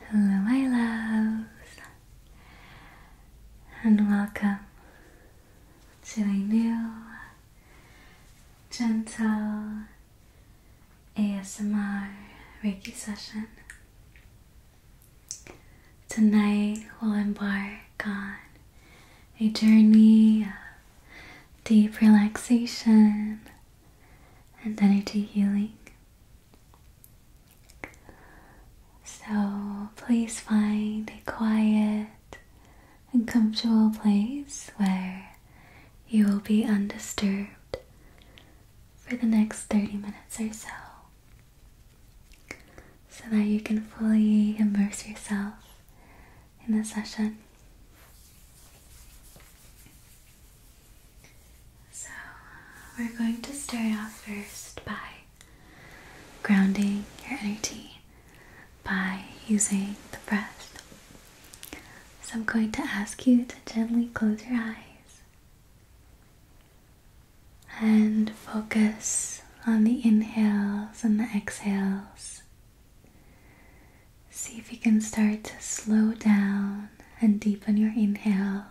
Hello, my loves, and welcome to a new gentle ASMR Reiki session. Tonight, we'll embark on a journey of deep relaxation and energy healing. So please find a quiet and comfortable place where you will be undisturbed for the next 30 minutes or so, so that you can fully immerse yourself in the session. So, we're going to start off first by grounding your energy by using the breath. So, I'm going to ask you to gently close your eyes and focus on the inhales and the exhales. See if you can start to slow down and deepen your inhale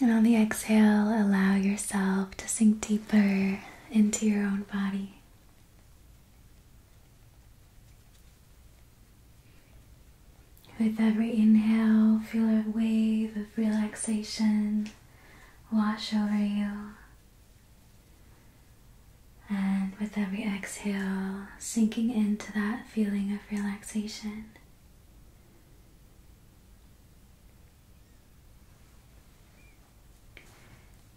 and on the exhale, allow yourself to sink deeper into your own body. With every inhale, feel a wave of relaxation wash over you. And with every exhale, sinking into that feeling of relaxation.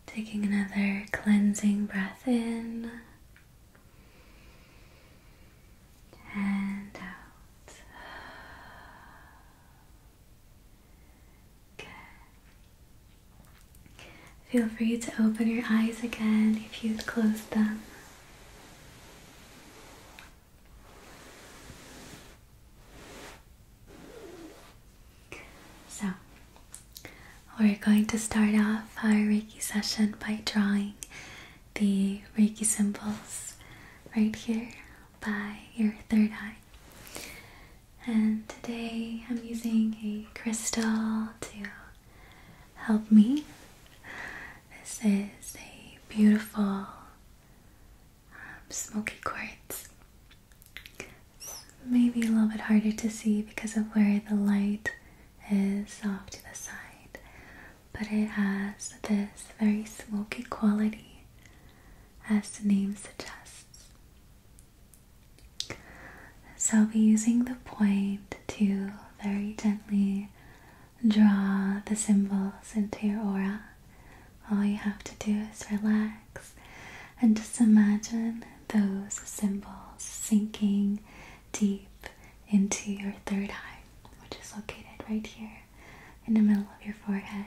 Taking another cleansing breath in and out. Good. Feel free to open your eyes again if you'd closed them. So, we're going to start off our Reiki session by drawing the Reiki symbols right here by your third eye. And today I'm using a crystal to help me. This is a beautiful um, smoky quartz. maybe a little bit harder to see because of where the light is off to the side, but it has this very smoky quality, as the name suggests. So I'll be using the point to very gently draw the symbols into your aura. All you have to do is relax and just imagine those symbols sinking deep into your third eye, which is located right here in the middle of your forehead.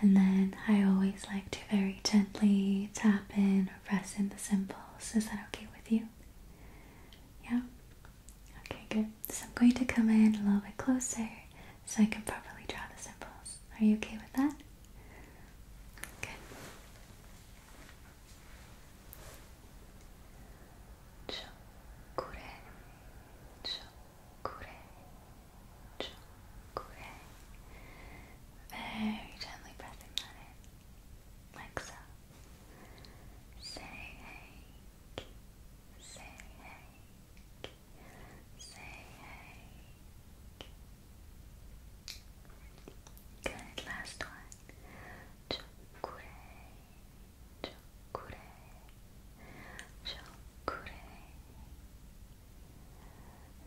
And then I always like to very gently tap in or press in the symbols. Is that okay with you? Yeah? Okay, good. So I'm going to come in a little bit closer so I can properly draw the symbols. Are you okay with that? Good. Chokure, chokure, chokure. Very gently breathing on like so. Say hey, say hey, say hey. Good, last one. Chokure, chokure, chokure.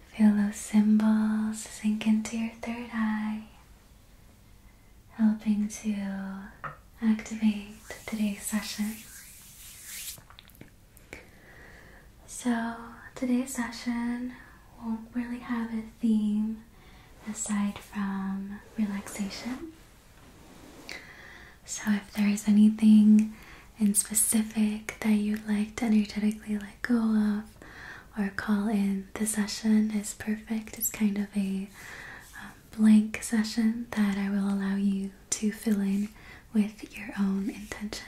Feel those symbols sink into your third eye helping to activate today's session. So, today's session won't really have a theme aside from relaxation. So, if there is anything in specific that you'd like to energetically let go of or call in, the session is perfect. It's kind of a um, blank session that I will allow you to fill in with your own intention.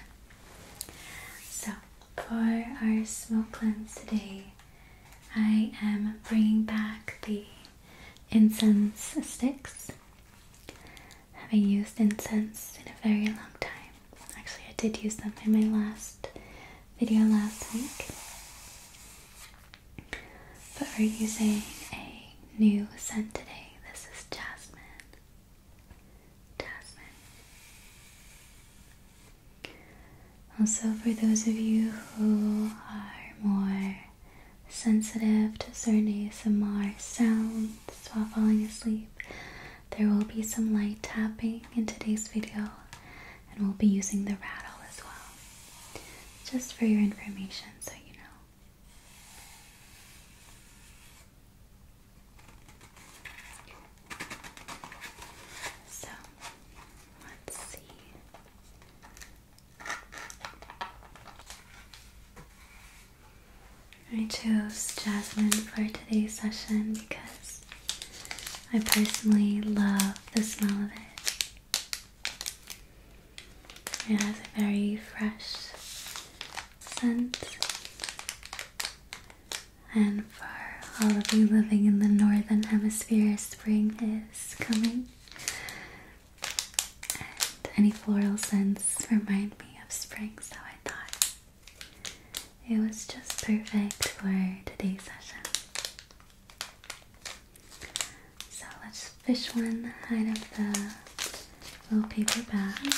So, for our smoke cleanse today, I am bringing back the incense sticks. Haven't used incense in a very long time. Actually, I did use them in my last video last week. But we're using a new scent today. This is Jasmine. Jasmine. Also, for those of you who are more sensitive to certain ASMR sounds while falling asleep, there will be some light tapping in today's video and we'll be using the rattle as well. Just for your information, so you know. So, let's see. I chose Jasmine for today's session because I personally love the smell of it. It has a very fresh scent. And for all of you living in the northern hemisphere, spring is coming. any floral scents remind me of spring, so I thought it was just perfect for today's session. So let's fish one out of the little paper bag.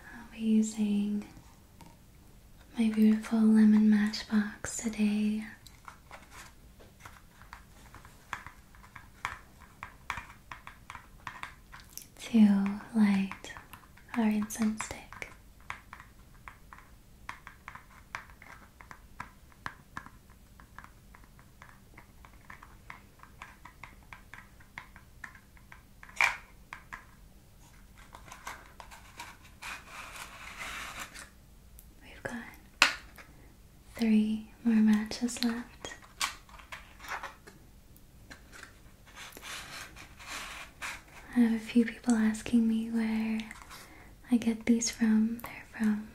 I'll be using my beautiful lemon matchbox today to light our incense stick. We've got three more matches left. I have a few people asking me where I get these from. They're from,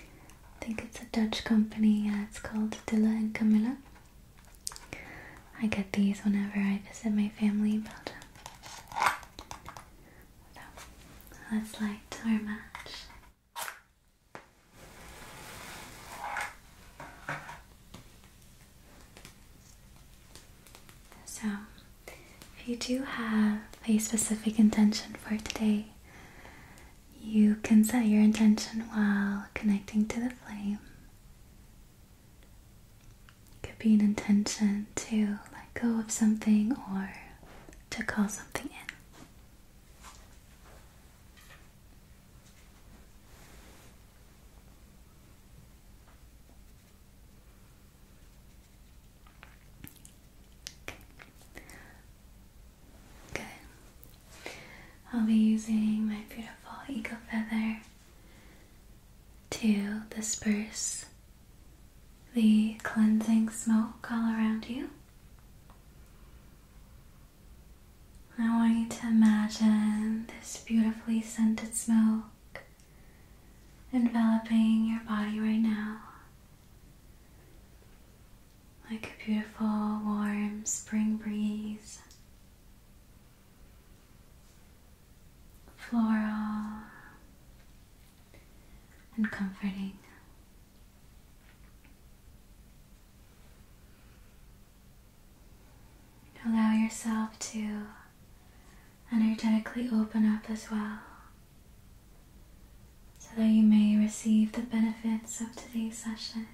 I think it's a Dutch company, it's called Dilla and Camilla. I get these whenever I visit my family in Belgium. So, let's light our match. So, if you do have a specific intention for today, you can set your intention while connecting to the flame. It could be an intention to let go of something or to call something in. Good. I'll be using my beautiful eagle feather to disperse the cleansing smoke all around you. I want you to imagine this beautifully scented smoke enveloping your body right now like a beautiful, warm spring breeze, floral and comforting. Allow yourself to energetically open up as well so that you may receive the benefits of today's session.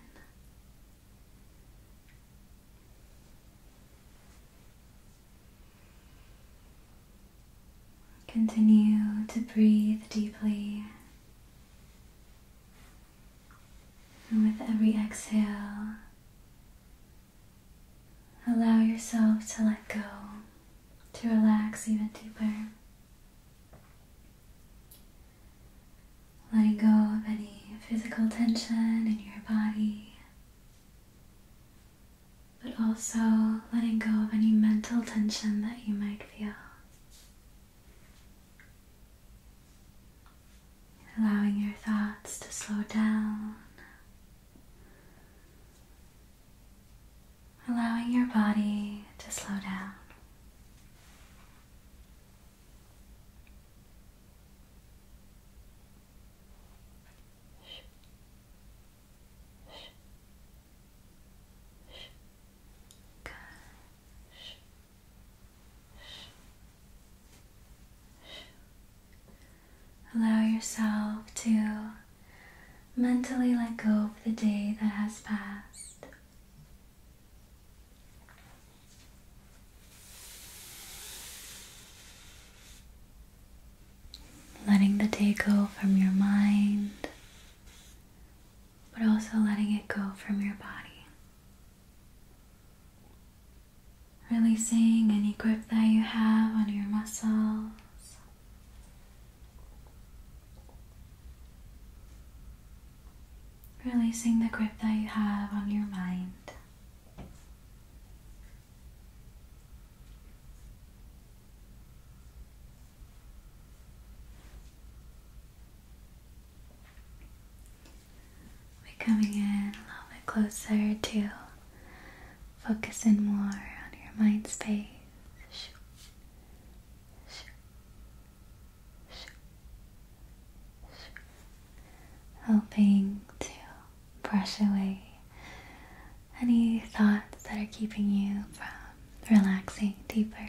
Continue to breathe deeply. And with every exhale, Allow yourself to let go, to relax even deeper. Letting go of any physical tension in your body, but also letting go of any mental tension that you might feel allowing your thoughts to slow down, allowing your body to slow down. Good. Allow yourself to mentally let go of the day that has passed. Letting the day go from your mind, but also letting it go from your body. Releasing any grip that you have on your muscles. Releasing the grip that you have on your mind. We're coming in a little bit closer to focusing more on your mind space. Shoo. Helping to brush away any thoughts that are keeping you from relaxing deeper.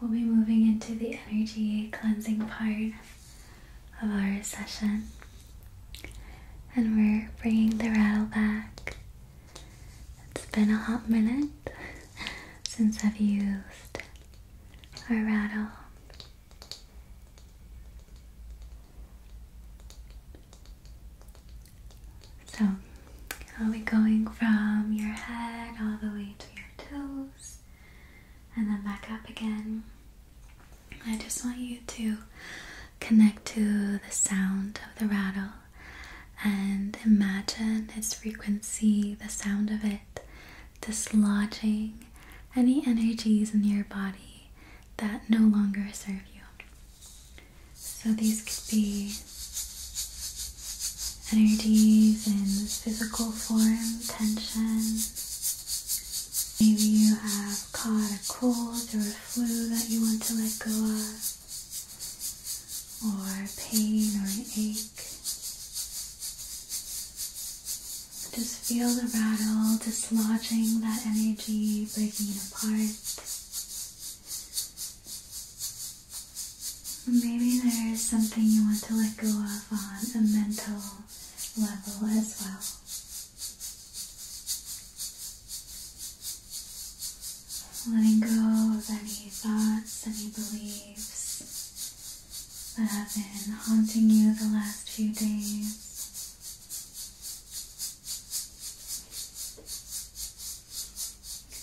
we'll be moving into the energy cleansing part of our session. And we're bringing the rattle back. It's been a hot minute since I've used our rattle. So, I'll be going from your head all the way to your toes and then back up again. I just want you to connect to the sound of the rattle and imagine its frequency, the sound of it, dislodging any energies in your body that no longer serve you. So these could be energies in physical form, tension, Maybe you have caught a cold or a flu that you want to let go of, or pain or an ache. Just feel the rattle dislodging that energy, breaking it apart. Maybe there is something you want to let go of on a mental level as well. Letting go of any thoughts, any beliefs that have been haunting you the last few days.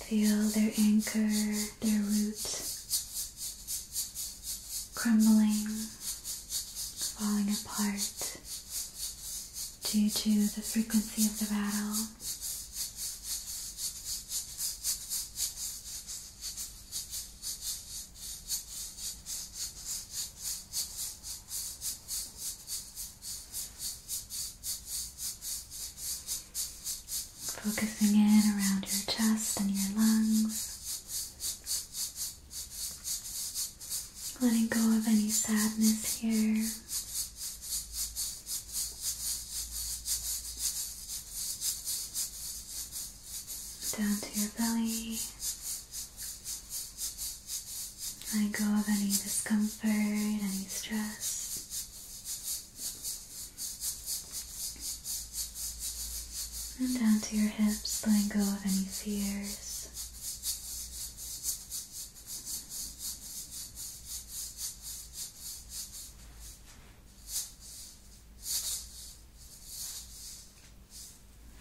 Feel their anchor, their root crumbling, falling apart due to the frequency of the battle. Focusing in around your chest and your lungs. Letting go of any sadness here. Down to your belly. Letting go of any discomfort, any stress. And down to your hips, letting go of any fears.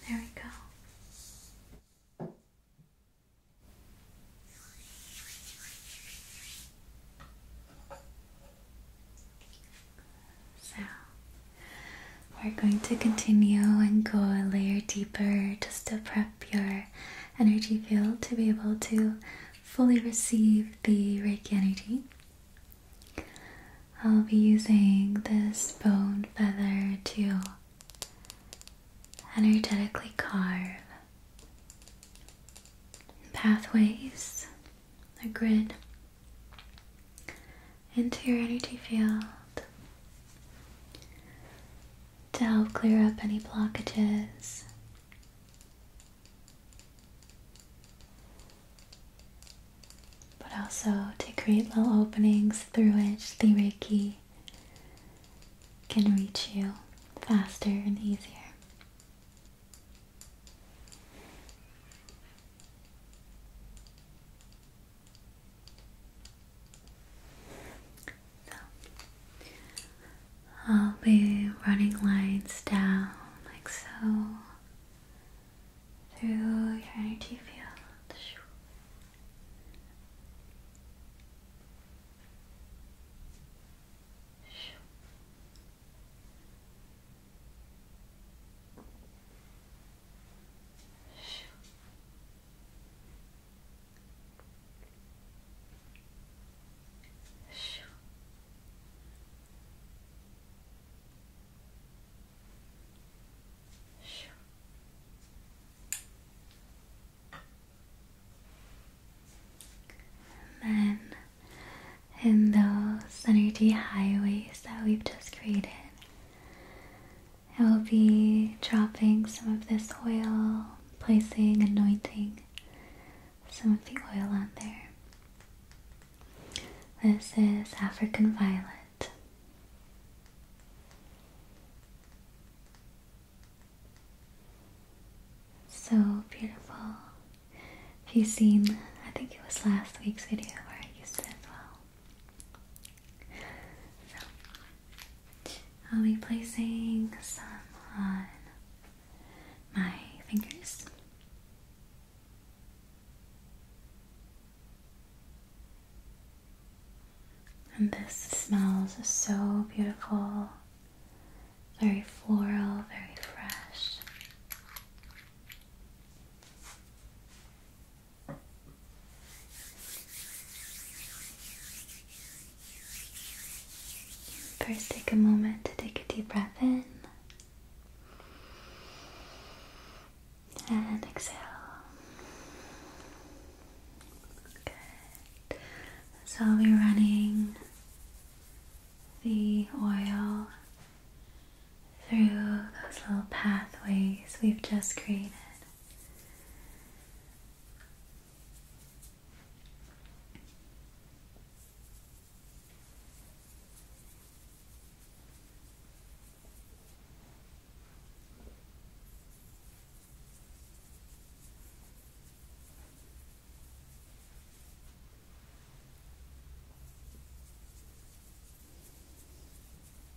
There we go. So we're going to continue and go a layer deeper just to prep your energy field to be able to fully receive the Reiki energy. I'll be using this bone feather to energetically carve pathways, a grid into your energy field to help clear up any blockages. But also to create little openings through which the Reiki can reach you faster and easier. I'll be running lines down like so through your energy field. And in those energy highways that we've just created, I will be dropping some of this oil, placing, anointing some of the oil on there. This is African Violet. So beautiful. Have you seen, I think it was last week's video where I used it I'll be placing some on my fingers. And this smells so beautiful, very floral, very fresh. First, take a moment to take a deep breath in and exhale. Good. So, I'll be running the oil through those little pathways we've just created.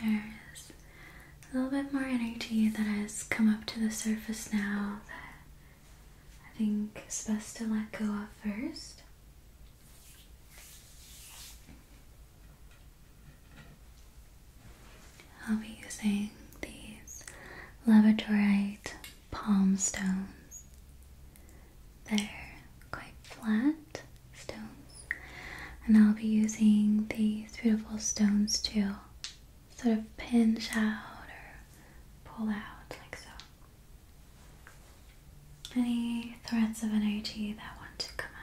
There's a little bit more energy that has come up to the surface now that I think is best to let go of first. I'll be using these labradorite palm stones. They're quite flat stones. And I'll be using these beautiful stones to sort of pinch out or pull out, like so. Any threads of energy that want to come out.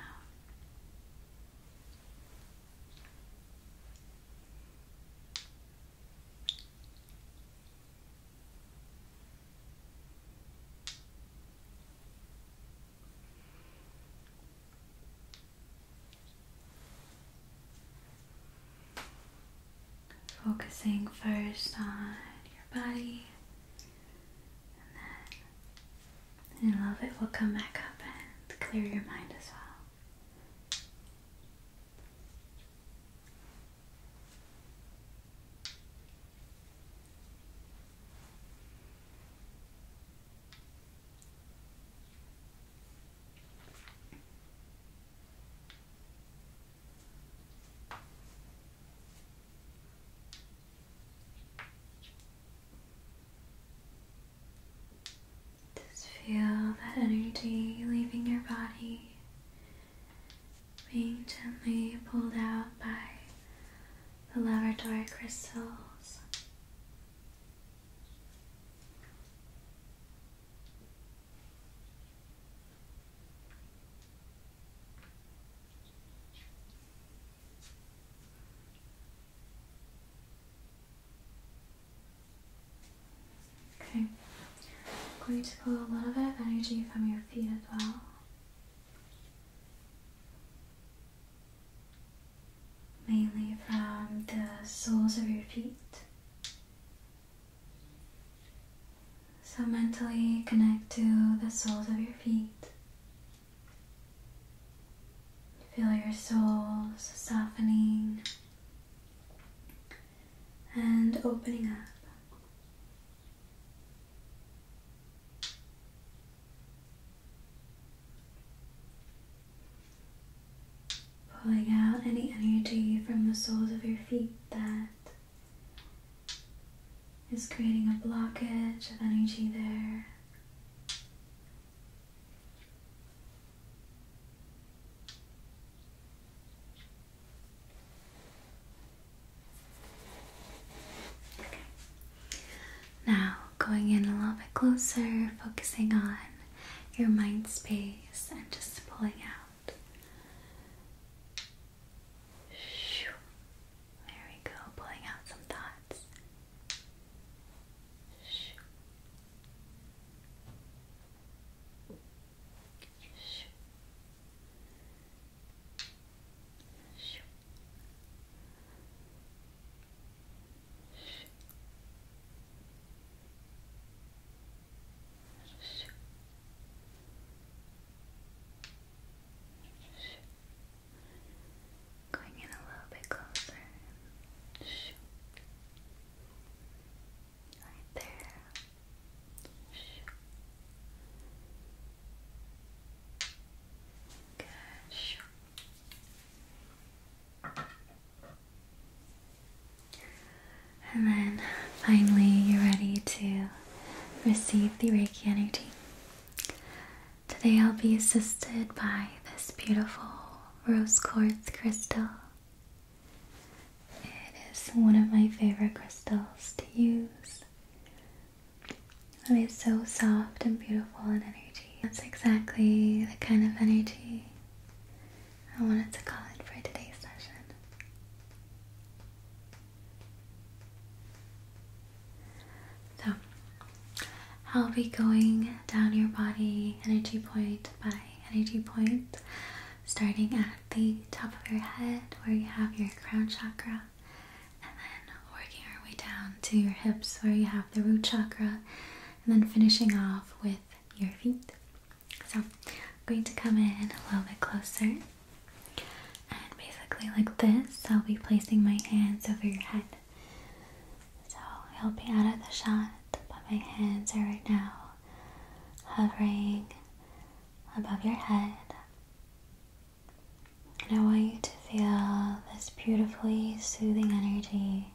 Focusing first on your body, and then in a little bit will come back up and clear your mind as well. Just feel that energy leaving your body, being gently pulled out by the laboratory crystals. Okay, I'm going to pull a little bit of energy from your feet as well mainly from the soles of your feet. So mentally connect to the soles of your feet. Feel your soles softening and opening up. Pulling out any energy from the soles of your feet that is creating a blockage of energy there. Okay. Now, going in a little bit closer, focusing on your mind space and just pulling out. There we go, pulling out some thoughts. Going in a little bit closer. Right there. Good. And then finally, you're ready to receive the Reiki energy. Today, I'll be assisted by this beautiful rose quartz crystal. It is one of my favorite crystals to use. I mean, it's so soft and beautiful and energy. That's exactly the kind of energy I wanted to call it for today's session. So, I'll be going down your body energy point by energy point, starting at the top of your head where you have your crown chakra, and then working our way down to your hips where you have the root chakra, and then finishing off with your feet. So, I'm going to come in a little bit closer, and basically, like this, I'll be placing my hands over your head. So, i will be out of the shot, but my hands are right now hovering above your head. And I want you to feel this beautifully soothing energy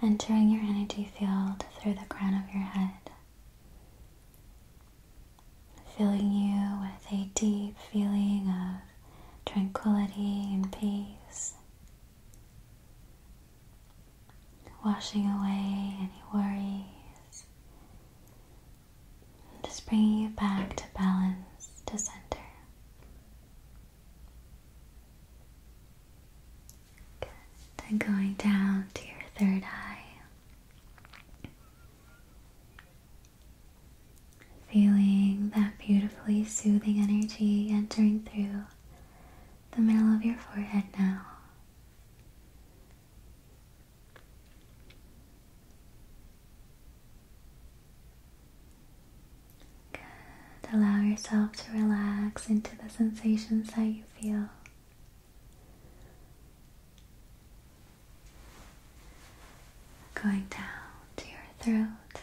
entering your energy field through the crown of your head, filling you with a deep feeling of tranquility and peace, washing away any worries, and just bringing you back to balance, to center. Then going down to your third eye. Feeling that beautifully soothing energy entering through the middle of your forehead now. Good. Allow yourself to relax into the sensations that you feel. Going down to your throat.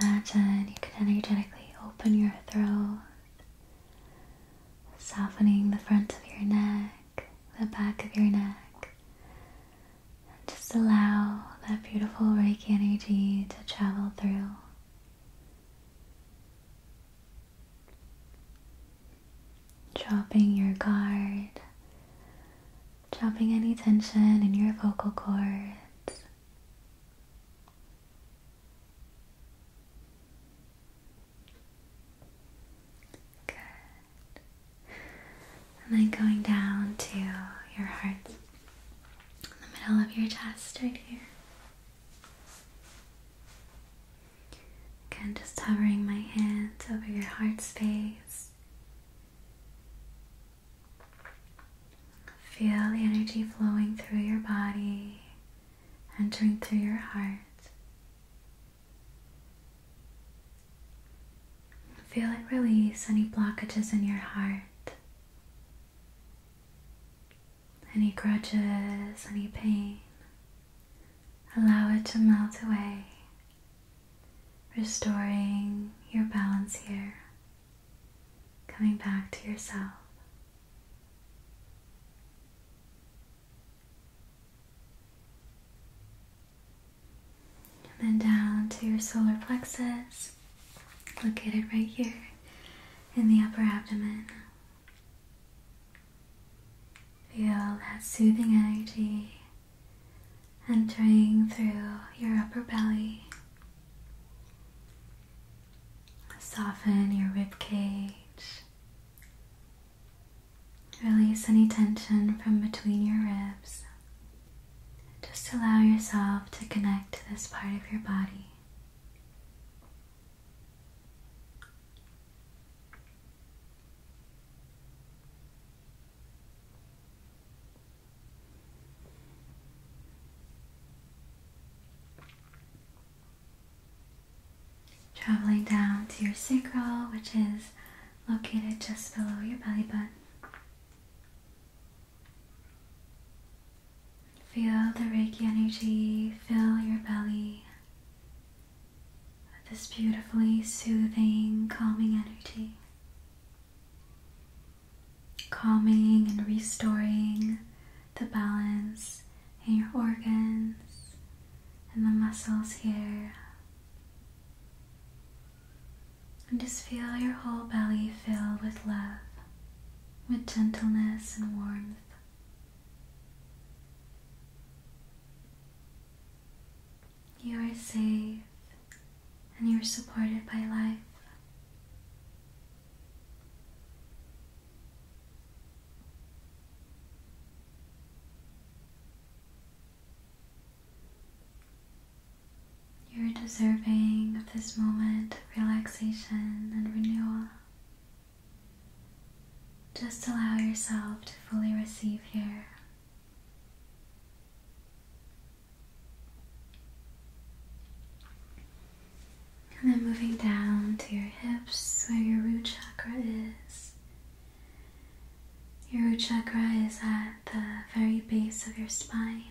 Imagine you can energetically open your throat, softening the front of your neck, the back of your neck, just allow that beautiful radiant energy to travel through. Dropping your guard, dropping any tension in your vocal cords. Good. And then going down to your heart, in the middle of your chest, right here. Again, just hovering my hands over your heart space. Feel the energy flowing through your body, entering through your heart, Feel it release any blockages in your heart. Any grudges, any pain. Allow it to melt away, restoring your balance here, coming back to yourself and then down to your solar plexus, located right here in the upper abdomen. Feel that soothing energy entering through your upper belly. Soften your rib cage Release any tension from between your ribs. Just allow yourself to connect to this part of your body. Traveling down to your sacral, which is located just below your belly button. Feel the Reiki energy fill your belly with this beautifully soothing, calming energy. Calming and restoring the balance in your organs and the muscles here. And just feel your whole belly fill with love, with gentleness and warmth. You are safe and you are supported by life. You're deserving of this moment of relaxation and renewal. Just allow yourself to fully receive here. And then moving down to your hips where your root chakra is, your root chakra is at the very base of your spine,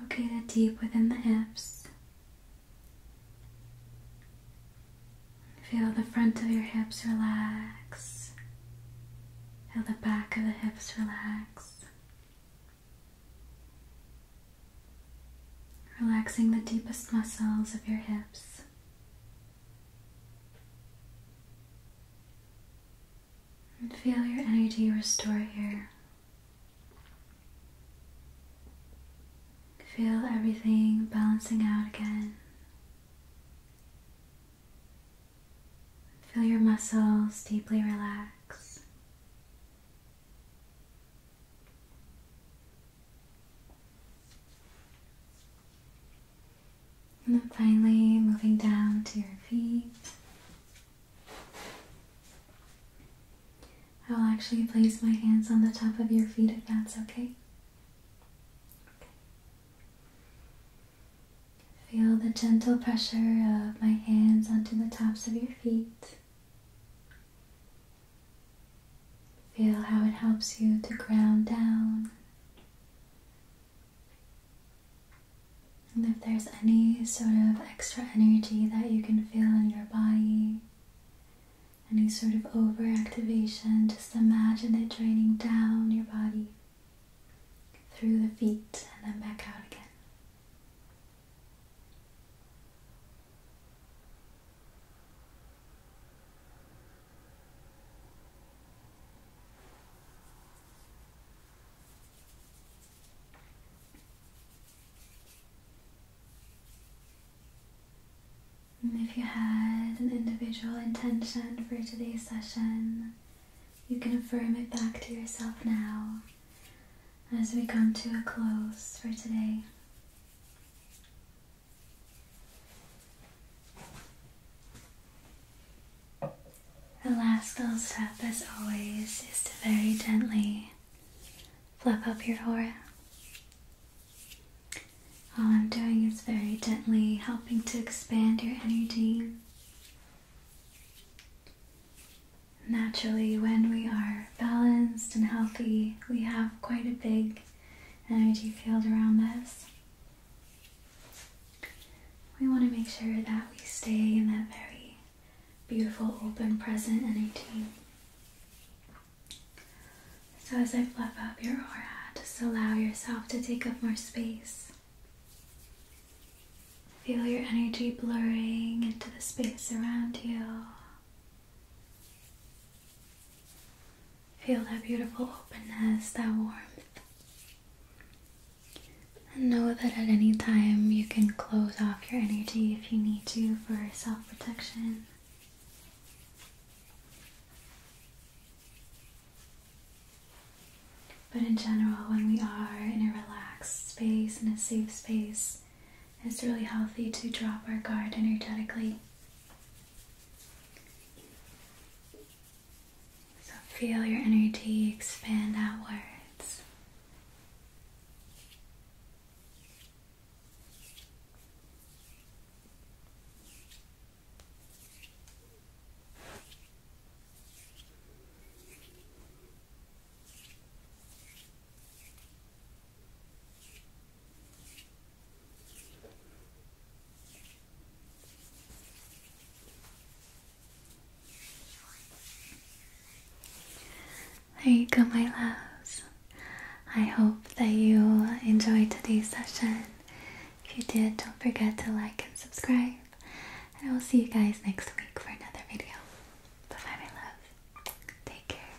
located deep within the hips. Feel the front of your hips relax, feel the back of the hips relax. Relaxing the deepest muscles of your hips feel your energy restore here. Feel everything balancing out again. Feel your muscles deeply relax. And then finally moving down to your feet. I'll actually place my hands on the top of your feet if that's okay. okay. Feel the gentle pressure of my hands onto the tops of your feet. Feel how it helps you to ground down and if there's any sort of extra energy that you can feel in your body, any sort of overactivation, just imagine it draining down your body through the feet and then back out again if you had an individual intention for today's session, you can affirm it back to yourself now as we come to a close for today. The last little step, as always, is to very gently fluff up your aura. All I'm doing is very gently helping to expand your energy. Naturally, when we are balanced and healthy, we have quite a big energy field around us. We want to make sure that we stay in that very beautiful open present energy. So, as I fluff up your aura, just allow yourself to take up more space. Feel your energy blurring into the space around you. Feel that beautiful openness, that warmth. And know that at any time you can close off your energy if you need to for self protection. But in general, when we are in a relaxed space, in a safe space, it's really healthy to drop our guard energetically. So feel your energy expand outwards. There you go, my loves. I hope that you enjoyed today's session. If you did, don't forget to like and subscribe. And I will see you guys next week for another video. Bye my love. Take care.